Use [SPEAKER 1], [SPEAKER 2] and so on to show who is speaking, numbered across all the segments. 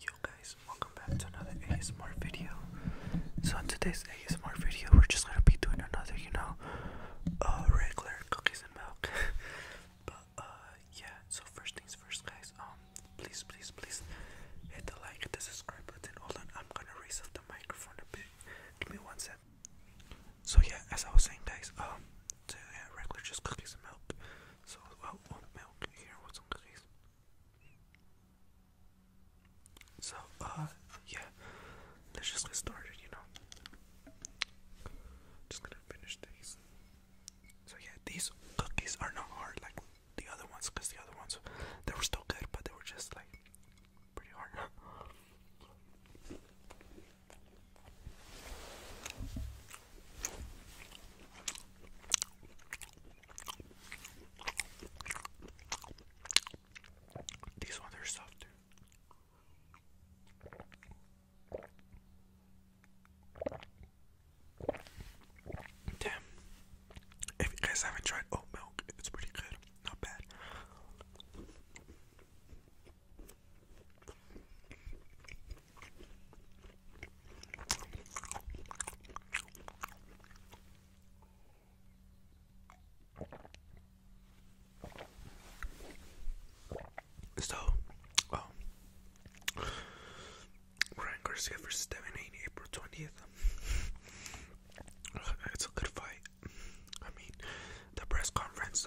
[SPEAKER 1] Yo guys, welcome back to another ASMR video. So in today's ASMR video, we're just gonna be doing another, you know, uh, regular cookies and milk. but uh, yeah. So first things first, guys. Um, please, please, please hit the like, the subscribe button. Hold on, I'm gonna raise up the microphone a bit. Give me one sec. So yeah, as I was saying, guys. Um, yeah, regular just cookies and milk. So, well, milk here with some cookies. So, uh, yeah, let's just get started, you know. Just gonna finish these. So, yeah, these cookies are not hard like the other ones, the other ones, they were still good, but they were just like pretty hard. These ones are softer. Damn. If you guys haven't tried oat milk, it's pretty good. Not bad. So, um, Ryan Garcia versus Devin April 20th. it's a good fight. I mean, the press conference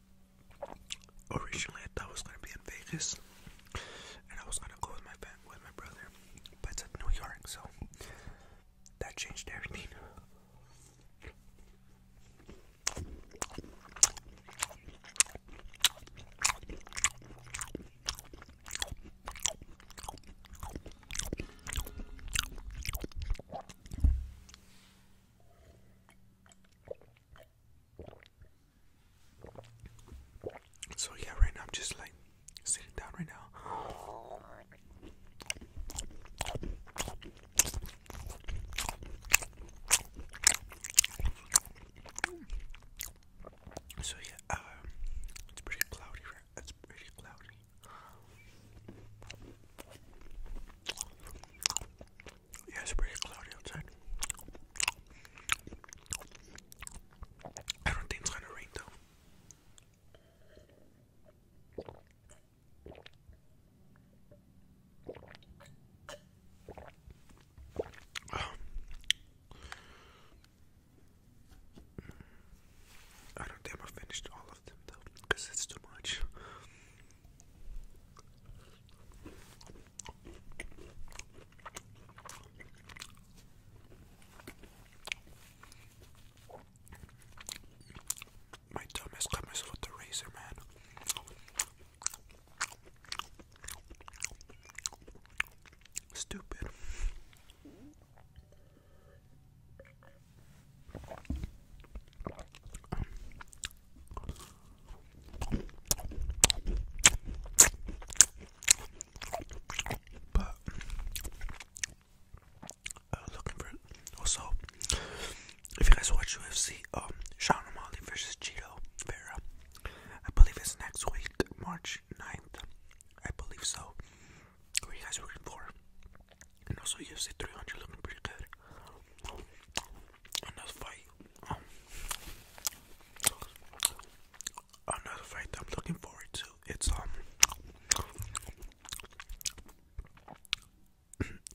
[SPEAKER 1] Originally, I thought I was gonna be in Vegas, and I was gonna go with my with my brother, but it's New York, so that changed everything. So yeah, right now I'm just like sitting down right now. So yeah, um, it's pretty cloudy. Right? It's pretty cloudy. Yeah, it's pretty cloudy outside. I don't think it's gonna rain though. I don't think i finished all of them though, because it's too much. My dumbest cut myself with the razor, man. Stupid. But looking for also if you guys watch UFC um Sean O'Malley versus Cheeto Vera. I believe it's next week, March 9th. I believe so. What are you guys looking for? And also UFC 300 looking pretty good. Another fight. another um, fight I'm looking forward to. It's um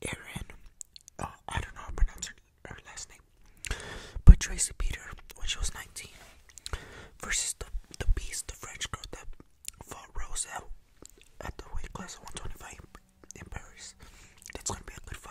[SPEAKER 1] Erin. Uh, I don't know how to pronounce her, last name. But Tracy Peter when she was 19 versus the the beast, the French girl that fought Rose at the weight class of 125 in Paris. That's gonna be a good fight.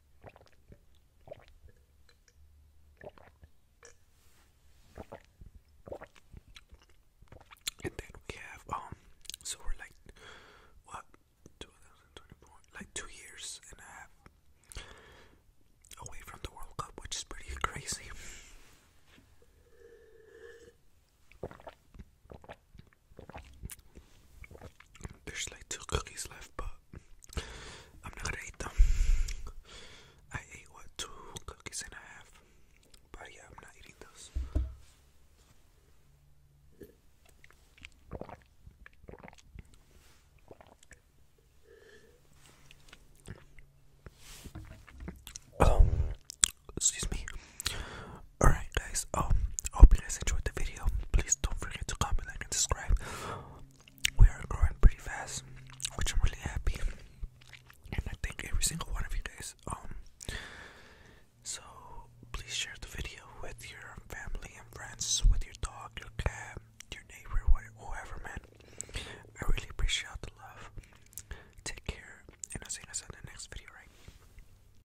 [SPEAKER 1] And then we have um so we're like what 2024 like two years and a half away from the World Cup which is pretty crazy there's like two cookies left, but I'm not gonna eat them. I ate what two cookies and a half, but yeah, I'm not eating those. Um, excuse me. Alright guys, um hope you guys enjoyed the video. Please don't forget to comment, like and subscribe. We are growing pretty fast, which I'm really happy. And I thank every single one of you guys. Um so please share the video with your family and friends, with your dog, your cat, your neighbor, whoever man. I really appreciate the love. Take care and I'll see you guys in the next video, right?